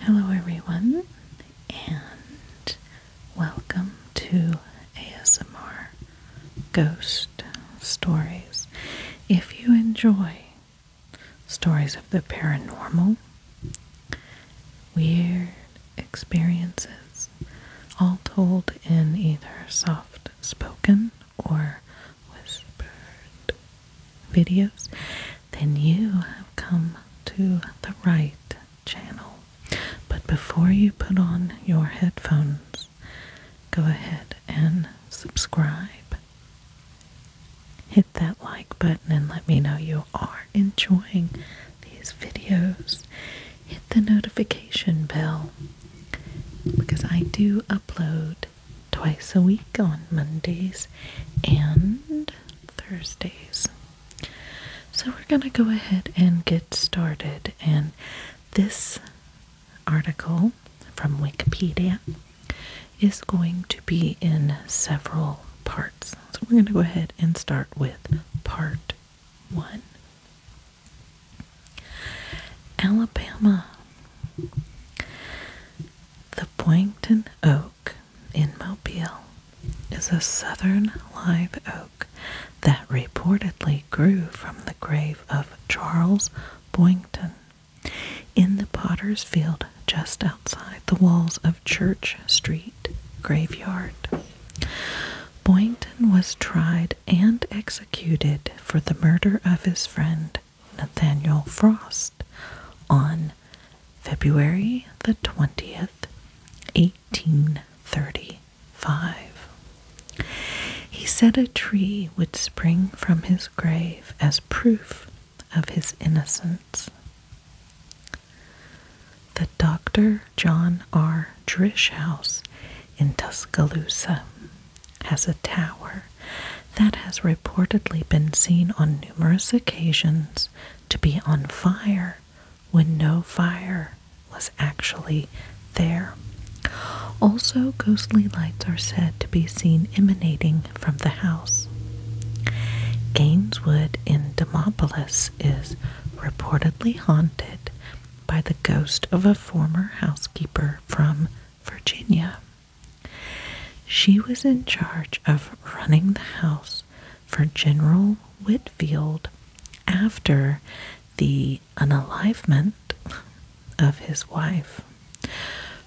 Hello, everyone, and welcome to ASMR Ghost Stories. If you enjoy stories of the paranormal, weird experiences, all told in either soft spoken or whispered videos, then you have come to the right channel. But before you put on your headphones, go ahead and subscribe. Hit that like button and let me know you are enjoying these videos. Hit the notification bell because I do upload twice a week on Mondays and Thursdays. So we're going to go ahead and get started. And this article from Wikipedia is going to be in several parts. So we're going to go ahead and start with part one. Alabama. The Boyington Oak in Mobile is a southern live oak that reportedly grew from the grave of Charles Boyington in the potter's field just outside the walls of Church Street Graveyard. Boyington was tried and executed for the murder of his friend Nathaniel Frost on February the 20th, 1835. He said a tree would spring from his grave as proof of his innocence. The Dr. John R. Drish House in Tuscaloosa has a tower that has reportedly been seen on numerous occasions to be on fire when no fire was actually there. Also, ghostly lights are said to be seen emanating from the house. Gaineswood in Demopolis is reportedly haunted by the ghost of a former housekeeper from Virginia. She was in charge of running the house for General Whitfield after the unalivement of his wife.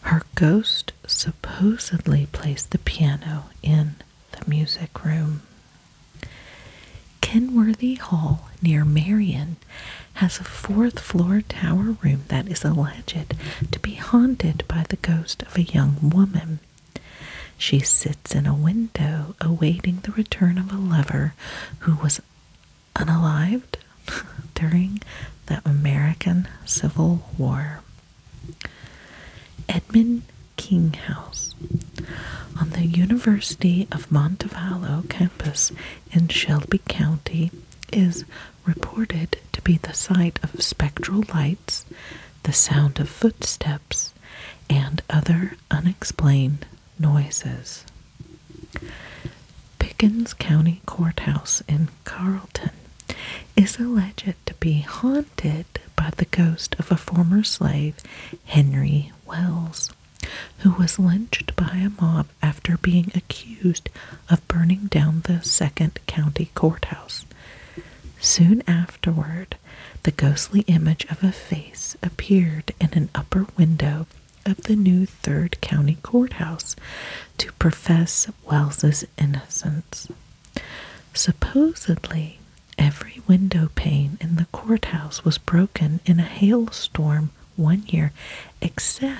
Her ghost supposedly placed the piano in the music room. Kenworthy Hall near Marion has a fourth floor tower room that is a alleged to be haunted by the ghost of a young woman. She sits in a window awaiting the return of a lover who was unalived during the American Civil War. Edmund King House, on the University of Montevallo campus in Shelby County is reported to be the sight of spectral lights, the sound of footsteps, and other unexplained noises. Pickens County Courthouse in Carlton is alleged to be haunted by the ghost of a former slave, Henry Wells, who was lynched by a mob after being accused of burning down the second county courthouse. Soon afterward, the ghostly image of a face appeared in an upper window of the new third county courthouse to profess Wells's innocence. Supposedly, every window pane in the courthouse was broken in a hailstorm one year, except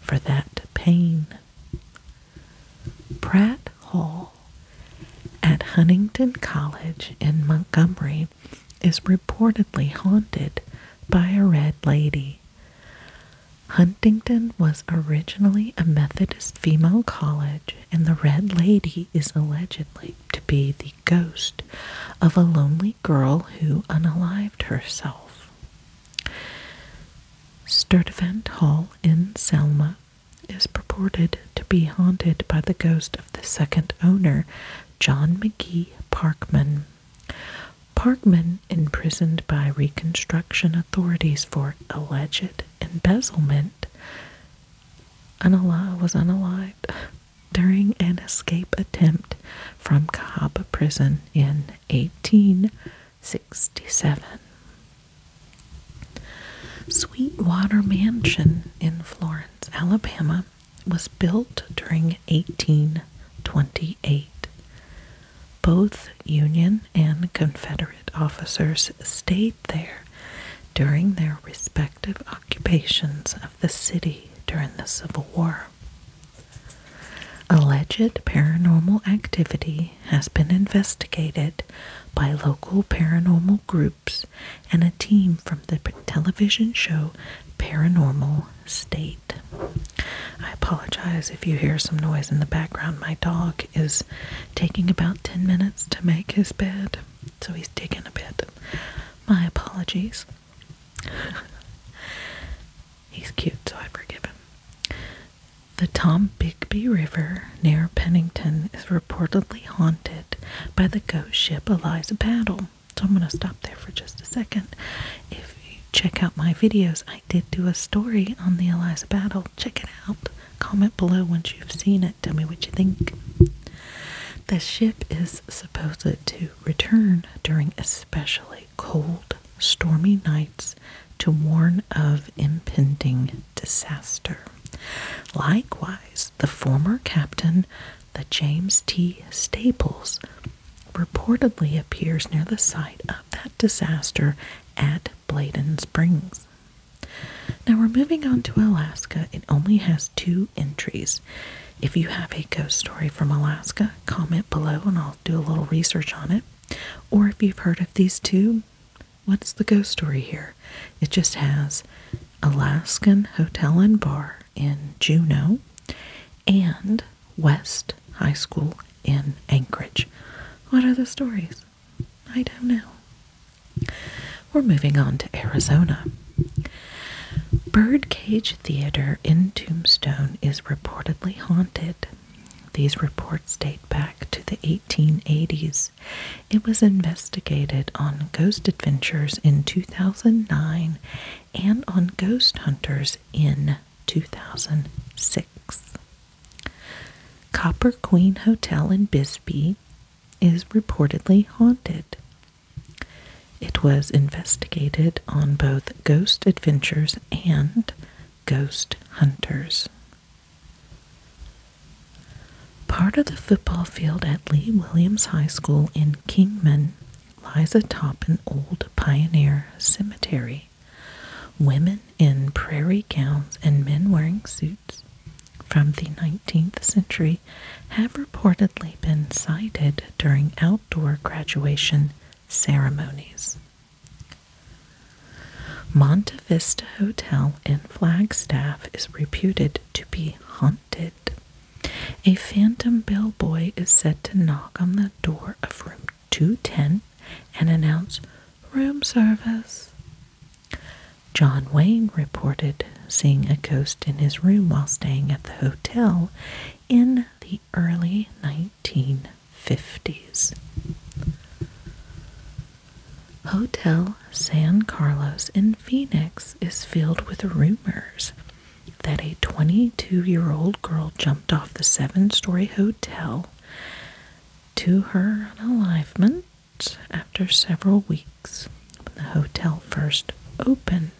for that pain. Pratt Hall at Huntington College in Montgomery is reportedly haunted by a red lady. Huntington was originally a Methodist female college, and the Red Lady is allegedly to be the ghost of a lonely girl who unalived herself. Sturtevant Hall in Selma is purported to be haunted by the ghost of the second owner, John McGee Parkman. Parkman, imprisoned by Reconstruction authorities for alleged embezzlement, unalive, was unalived during an escape attempt from Cahaba prison in 1867. Sweetwater Mansion in Florence, Alabama was built during 1828. Both Union and Confederate officers stayed there during their respective occupations of the city during the Civil War. Alleged paranormal activity has been investigated by local paranormal groups and a team from the television show Paranormal State. I apologize if you hear some noise in the background. My dog is taking about 10 minutes to make his bed, so he's digging a bit. My apologies. He's cute, so I forgive him. The Tom Bigby River near Pennington is reportedly haunted by the ghost ship Eliza Battle. So I'm going to stop there for just a second. If you check out my videos, I did do a story on the Eliza Battle. Check it out. Comment below once you've seen it. Tell me what you think. The ship is supposed to return during especially cold stormy nights to warn of impending disaster. Likewise, the former captain, the James T. Staples, reportedly appears near the site of that disaster at Bladen Springs. Now we're moving on to Alaska. It only has two entries. If you have a ghost story from Alaska, comment below and I'll do a little research on it. Or if you've heard of these two, what's the ghost story here? It just has Alaskan Hotel and Bar in Juneau and West High School in Anchorage. What are the stories? I don't know. We're moving on to Arizona. Birdcage Theater in Tombstone is reportedly haunted. These reports date back to the 1880s. It was investigated on Ghost Adventures in 2009 and on Ghost Hunters in 2006. Copper Queen Hotel in Bisbee is reportedly haunted. It was investigated on both Ghost Adventures and Ghost Hunters. Part of the football field at Lee Williams High School in Kingman lies atop an old pioneer cemetery. Women in prairie gowns and men wearing suits from the 19th century have reportedly been sighted during outdoor graduation ceremonies. Monte Hotel in Flagstaff is reputed to be haunted. A phantom bellboy is said to knock on the door of room 210 and announce room service. John Wayne reported seeing a ghost in his room while staying at the hotel in the early 1950s. Hotel San Carlos in Phoenix is filled with rumors that a 22 year old girl jumped off the seven story hotel to her unalivement after several weeks when the hotel first opened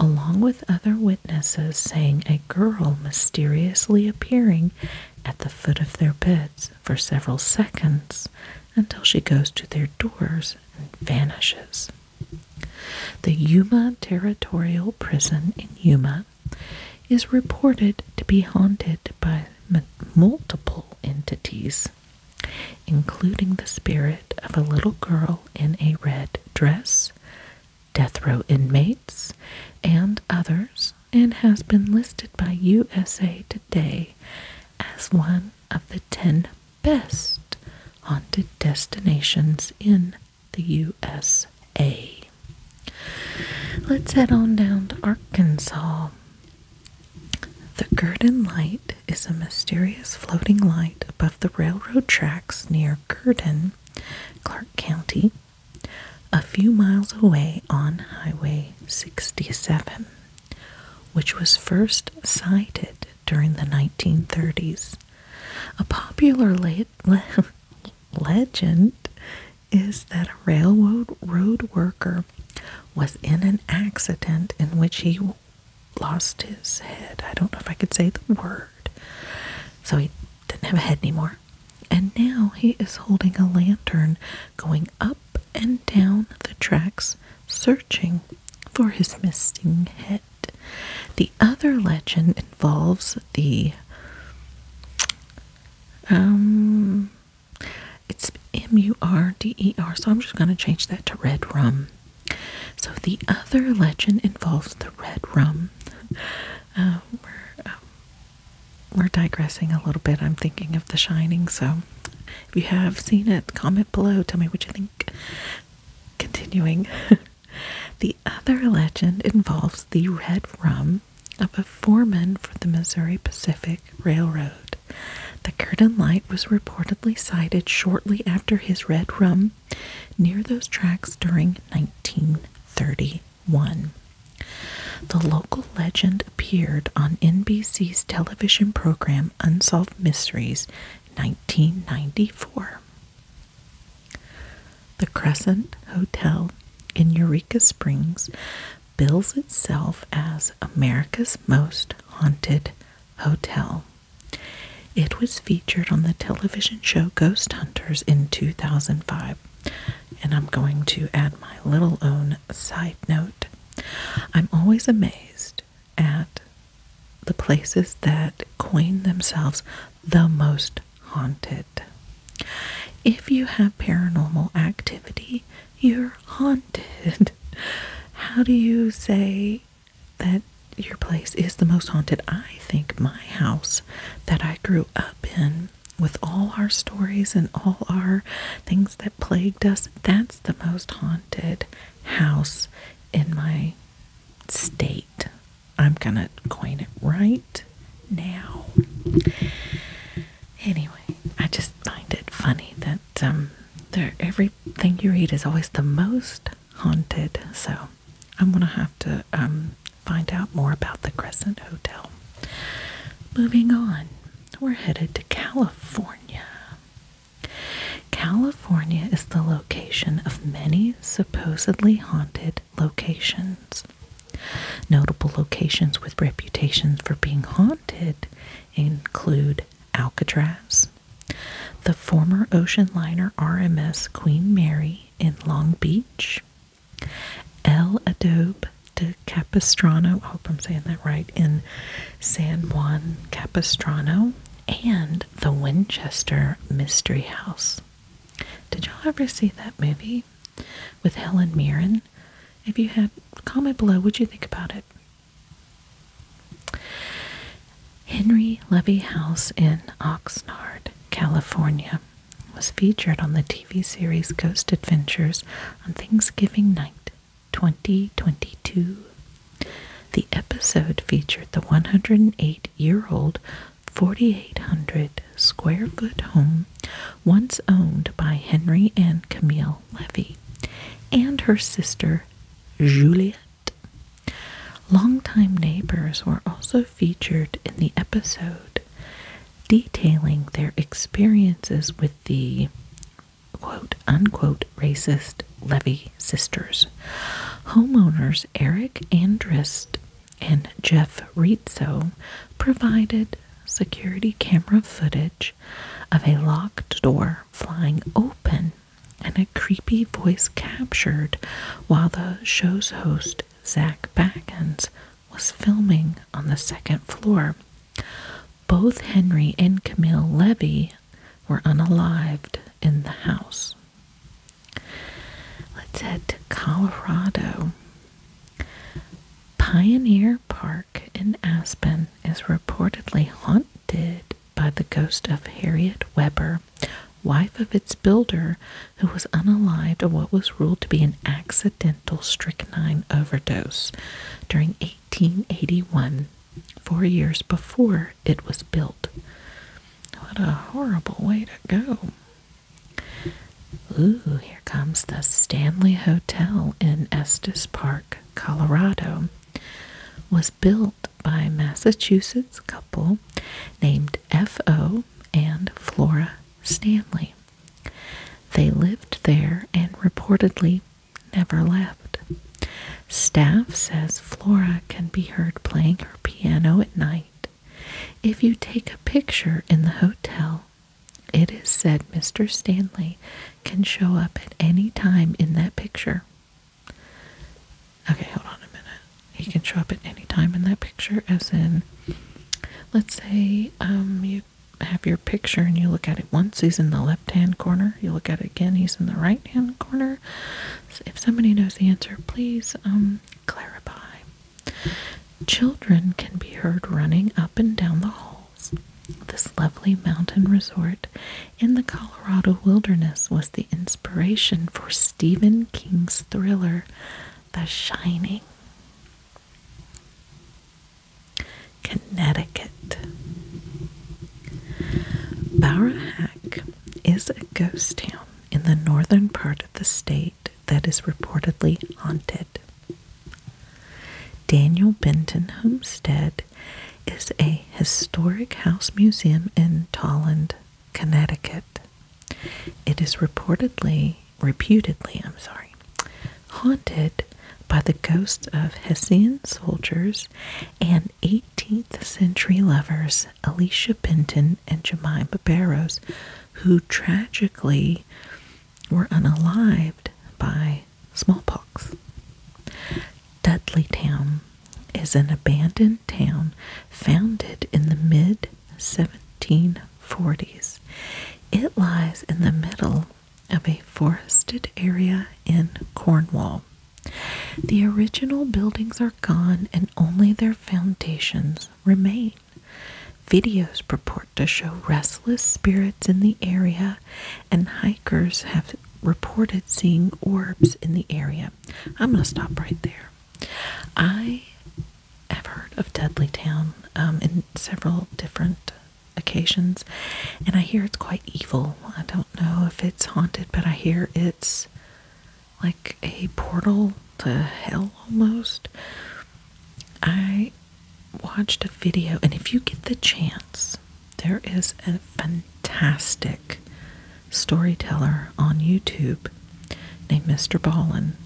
along with other witnesses saying a girl mysteriously appearing at the foot of their beds for several seconds until she goes to their doors and vanishes. The Yuma Territorial Prison in Yuma is reported to be haunted by multiple entities, including the spirit of a little girl in a red dress death row inmates, and others, and has been listed by USA Today as one of the 10 best haunted destinations in the USA. Let's head on down to Arkansas. The Gurdon Light is a mysterious floating light above the railroad tracks near Curtin, Clark County, a few miles away on Highway 67, which was first sighted during the 1930s. A popular legend is that a railroad road worker was in an accident in which he lost his head. I don't know if I could say the word. So he didn't have a head anymore. And now he is holding a lantern going up and down the tracks, searching for his missing head. The other legend involves the um it's M U R D E R, so I'm just going to change that to red rum. So the other legend involves the red rum. Uh, um, we're digressing a little bit. I'm thinking of The Shining, so if you have seen it, comment below. Tell me what you think. Continuing, the other legend involves the red rum of a foreman for the Missouri Pacific Railroad. The curtain light was reportedly sighted shortly after his red rum near those tracks during 1931. The local legend appeared on NBC's television program Unsolved Mysteries 1994. The Crescent Hotel in Eureka Springs bills itself as America's most haunted hotel. It was featured on the television show Ghost Hunters in 2005. And I'm going to add my little own side note. I'm always amazed at the places that coin themselves the most haunted. If you have paranormal activity, you're haunted. How do you say that your place is the most haunted. I think my house that I grew up in, with all our stories and all our things that plagued us, that's the most haunted house in my state. I'm gonna coin it right now. Anyway, I just find it funny that um, everything you read is always the most haunted. So I'm going to have to um, find out more about the Crescent Hotel. Moving on, we're headed to California. California is the location of many supposedly haunted locations. Notable locations with reputations for being haunted include Alcatraz, the former ocean liner RMS Queen Mary in Long Beach. El Adobe de Capistrano, I hope I'm saying that right, in San Juan Capistrano. And the Winchester Mystery House. Did y'all ever see that movie with Helen Mirren? If you have, comment below what you think about it. Henry Levy House in Oxnard, California, was featured on the TV series Ghost Adventures on Thanksgiving night 2022. The episode featured the 108 year old 4,800 square foot home once owned by Henry and Camille Levy and her sister Juliet Longtime neighbors were also featured in the episode, detailing their experiences with the quote unquote racist Levy sisters. Homeowners Eric Andrist and Jeff Rizzo provided security camera footage of a locked door flying open and a creepy voice captured while the show's host, Zach Backens, was filming on the second floor. Both Henry and Camille Levy were unalived in the house. Let's head to Colorado. Pioneer Park in Aspen is reportedly haunted by the ghost of Harriet Weber, wife of its builder, who was unalived of what was ruled to be an accidental strychnine overdose during 1881, four years before it was built. What a horrible way to go! Ooh, here comes the Stanley Hotel in Estes Park, Colorado. Was built by a Massachusetts couple named F.O. and Flora Stanley. They lived there and reportedly never left. Staff says Flora can be heard playing her piano at night. If you take a picture in the hotel, it is said Mr. Stanley can show up at any time in that picture. Okay, hold on a minute. He can show up at any time in that picture, as in, let's say um, you have your picture and you look at it once, he's in the left hand corner. You look at it again, he's in the right hand corner. if somebody knows the answer, please um, clarify. Children can be heard running up and down the halls. This lovely mountain resort in the Colorado wilderness was the inspiration for Stephen King's thriller, The Shining. Connecticut. Bowrahack is a ghost town in the northern part of the state that is reportedly haunted. Daniel Benton Homestead is a historic house museum in Tolland, Connecticut. It is reportedly, reputedly, I'm sorry, haunted by the ghosts of Hessian soldiers and 18th century lovers Alicia Benton and Jemima Barros, who tragically were unalived by smallpox. Dudley Town is an abandoned town founded in the mid 1740s. It lies in the middle of a forested area in Cornwall. The original buildings are gone and only their foundations remain. Videos purport to show restless spirits in the area and hikers have reported seeing orbs in the area. I'm going to stop right there. I have heard of Dudley Town um, in several different occasions, and I hear it's quite evil. I don't know if it's haunted, but I hear it's like a portal to hell almost. I watched a video, and if you get the chance, there is a fantastic storyteller on YouTube named Mr. Ballin.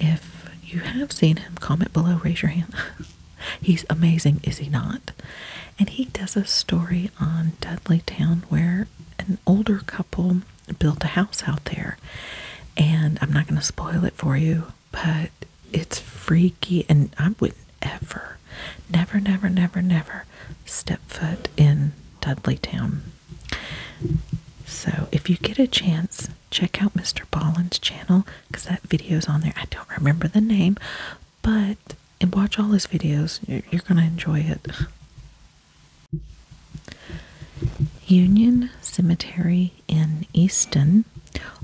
If you have seen him, comment below, raise your hand. He's amazing, is he not? And he does a story on Dudley Town where an older couple built a house out there. And I'm not going to spoil it for you, but it's freaky and I would ever, never, never, never, never step foot in Dudleytown. So if you get a chance, check out Mr. Ballin's channel because that video's on there. I don't remember the name, but and watch all his videos. You're, you're going to enjoy it. Union Cemetery in Easton,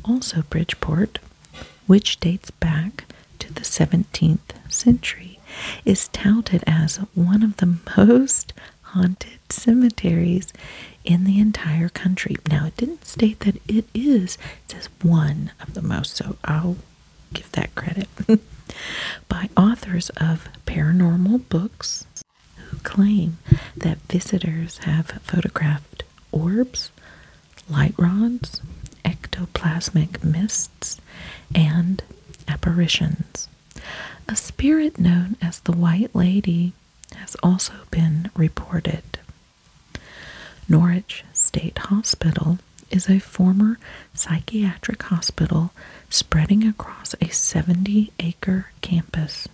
also Bridgeport, which dates back to the 17th century, is touted as one of the most haunted cemeteries in the entire country. Now, it didn't state that it is, it says one of the most, so I'll give that credit. By authors of paranormal books who claim that visitors have photographed orbs, light rods, ectoplasmic mists, and apparitions. A spirit known as the White Lady has also been reported. Norwich State Hospital is a former psychiatric hospital spreading across a 70 acre campus.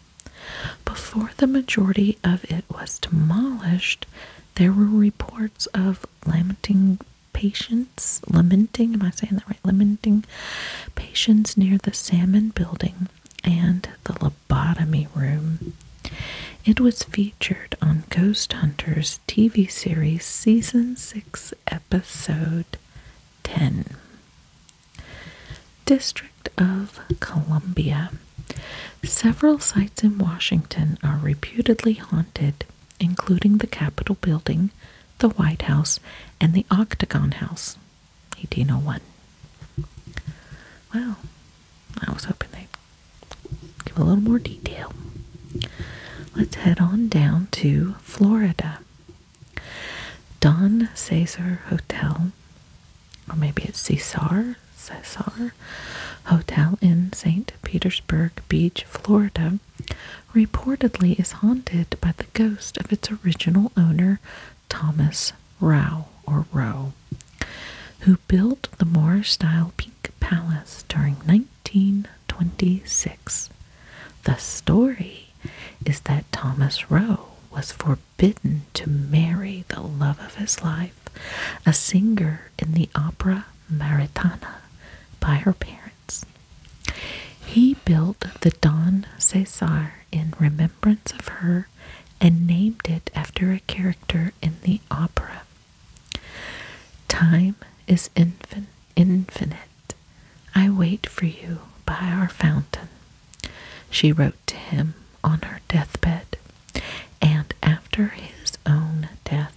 Before the majority of it was demolished, there were reports of lamenting patients, lamenting, am I saying that right? Lamenting patients near the Salmon Building and the Lobotomy Room. It was featured on Ghost Hunters TV series season 6, episode 10. District of Columbia. Several sites in Washington are reputedly haunted, including the Capitol building, the White House, and the Octagon House, 1801. Well, I was hoping they'd give a little more detail. Let's head on down to Florida. Don Caesar Hotel or maybe it's Cesar, Cesar Hotel in St. Petersburg Beach, Florida, reportedly is haunted by the ghost of its original owner, Thomas Rowe, or Rowe, who built the Moor style Pink Palace during 1926. The story is that Thomas Rowe was forbidden to marry the love of his life a singer in the opera Maritana by her parents. He built the Don Cesar in remembrance of her and named it after a character in the opera. Time is infinite. I wait for you by our fountain. She wrote to him on her deathbed, and after his own death,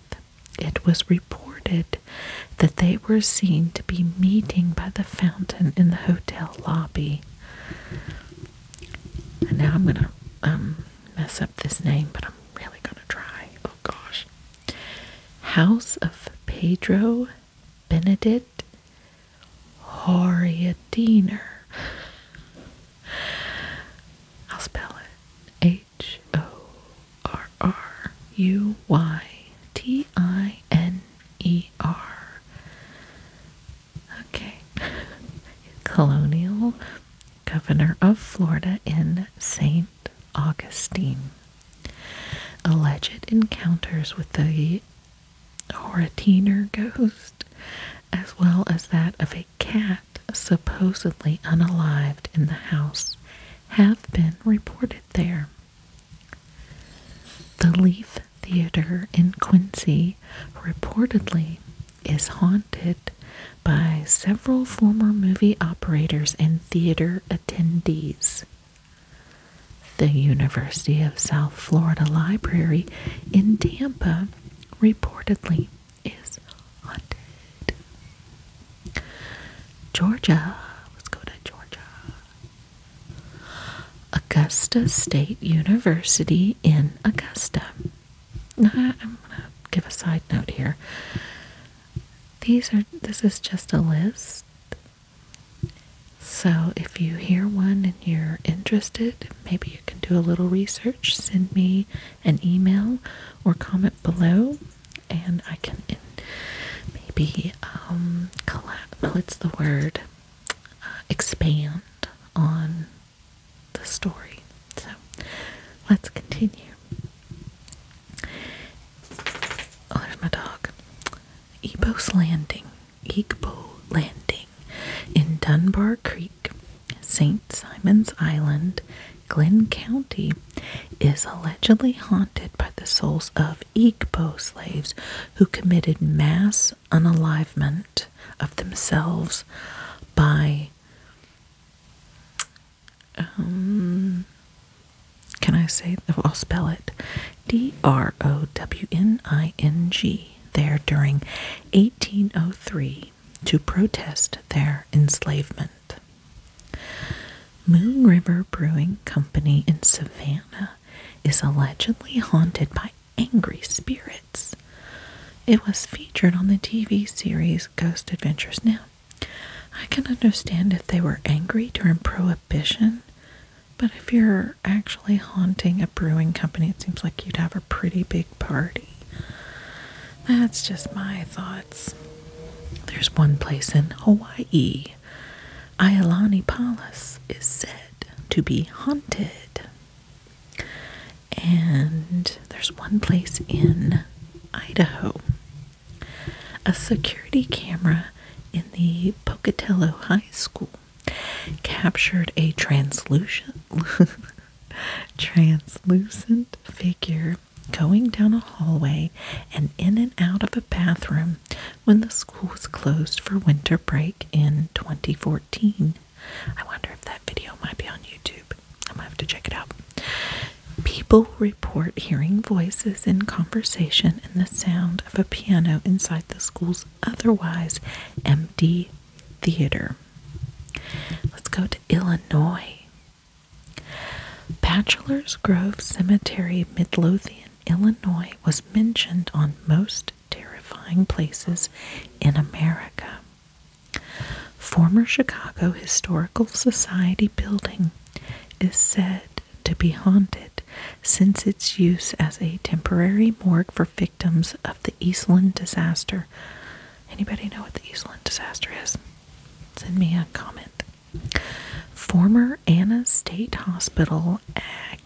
it was reported that they were seen to be meeting by the fountain in the hotel lobby. And now I'm gonna um, mess up this name, but I'm really gonna try. Oh gosh. House of Pedro Benedict Horiadiner. I'll spell it H O R R U Y T I N E R. Okay. Colonial governor of Florida in St. Augustine. Alleged encounters with the Horatiner ghost as well as that of a cat supposedly unalive in the house, have been reported there. The Leaf Theater in Quincy reportedly is haunted by several former movie operators and theater attendees. The University of South Florida Library in Tampa reportedly is haunted. Georgia. Let's go to Georgia. Augusta State University in Augusta. I'm gonna give a side note here. These are this is just a list. So if you hear one and you're interested, maybe you can do a little research, send me an email or comment below, and I can maybe um collab. What's the word? Uh, expand on the story. So let's continue. Oh, there's my dog. Ebo's Landing, Ebo Landing, in Dunbar Creek, St. Simon's Island, Glenn County, is allegedly haunted by the souls of Igbo slaves who committed mass unalivement of themselves by. Um, can I say? I'll spell it D R O W N I N G there during 1803 to protest their enslavement. Moon River Brewing Company in Savannah is allegedly haunted by angry spirits. It was featured on the TV series Ghost Adventures. Now, I can understand if they were angry during Prohibition, but if you're actually haunting a brewing company, it seems like you'd have a pretty big party. That's just my thoughts. There's one place in Hawaii, Ailani Palace, is said to be haunted. And there's one place in Idaho. A security camera in the Pocatello High School captured a translucent translucent figure going down a hallway and in and out of a bathroom when the school was closed for winter break in 2014. I wonder if that video might be on YouTube. I'm gonna have to check it out. People report hearing voices in conversation and the sound of a piano inside the school's otherwise empty theater. Let's go to Illinois. Bachelor's Grove Cemetery, Midlothian, Illinois, was mentioned on most terrifying places in America. Former Chicago Historical Society building is said to be haunted since its use as a temporary morgue for victims of the Eastland disaster. Anybody know what the Eastland disaster is? Send me a comment. Former Anna State Hospital at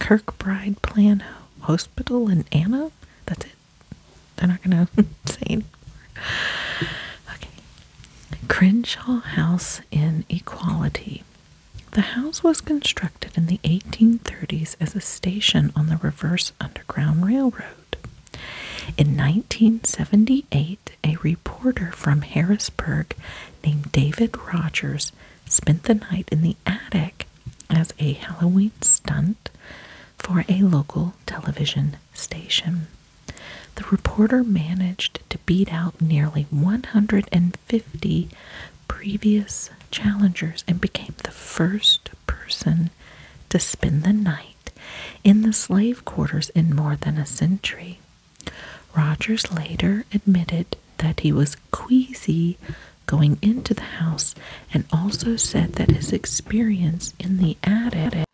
Kirkbride Plan Hospital in Anna? That's it. They're not going to say anymore. Okay. Crenshaw House in Equality. The house was constructed in the 1830s as a station on the reverse Underground Railroad. In 1978, a reporter from Harrisburg named David Rogers spent the night in the attic as a Halloween stunt for a local television station. The reporter managed to beat out nearly 150 previous challengers and became the first person to spend the night in the slave quarters in more than a century. Rogers later admitted that he was queasy going into the house and also said that his experience in the attic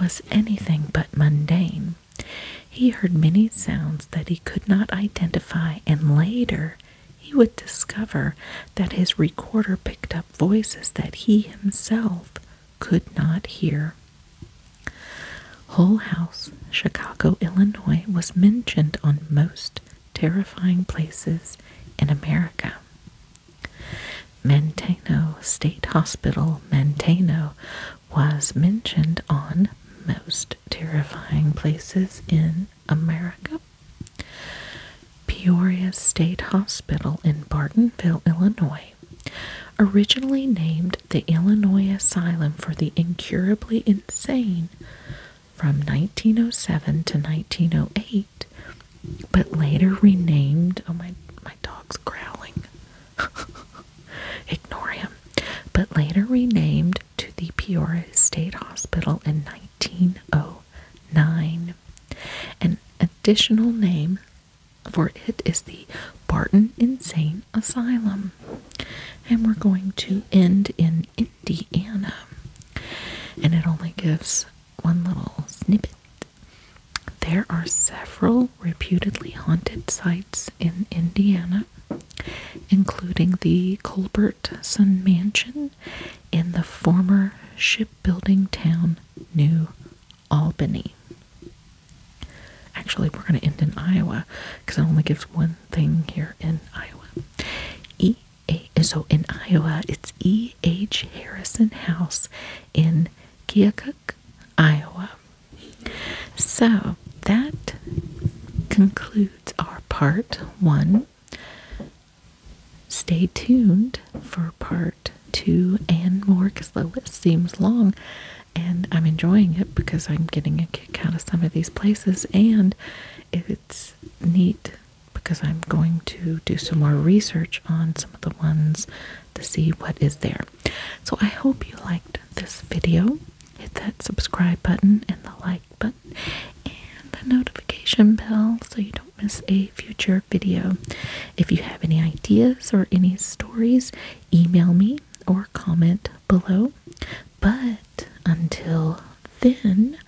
was anything but mundane. He heard many sounds that he could not identify and later he would discover that his recorder picked up voices that he himself could not hear. Hull House, Chicago, Illinois, was mentioned on most terrifying places in America. Manteno State Hospital, Manteno, was mentioned on most terrifying places in America. Peoria State Hospital in Bartonville, Illinois, originally named the Illinois Asylum for the Incurably Insane from 1907 to 1908, but later renamed. Oh, my, my dog's growling. Ignore him but later renamed to the Peoria State Hospital in 1909. An additional name for it is the Barton Insane Asylum. And we're going to end in Indiana. And it only gives one little snippet. There are several reputedly haunted sites in Indiana, including the Colbertson Mansion in the former shipbuilding town New Albany. Actually, we're going to end in Iowa because it only gives one thing here in Iowa. E A so in Iowa, it's E H Harrison House in Keokuk, Iowa. So that concludes it's our part one. Stay tuned for part two and more because the list seems long and I'm enjoying it because I'm getting a kick out of some of these places and it's neat because I'm going to do some more research on some of the ones to see what is there. So I hope you liked this video hit that subscribe button and the like button and the notification bell so you don't miss a future video. If you have any ideas or any stories, email me or comment below. But until then,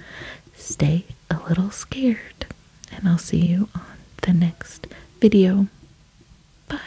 stay a little scared, and I'll see you on the next video. Bye.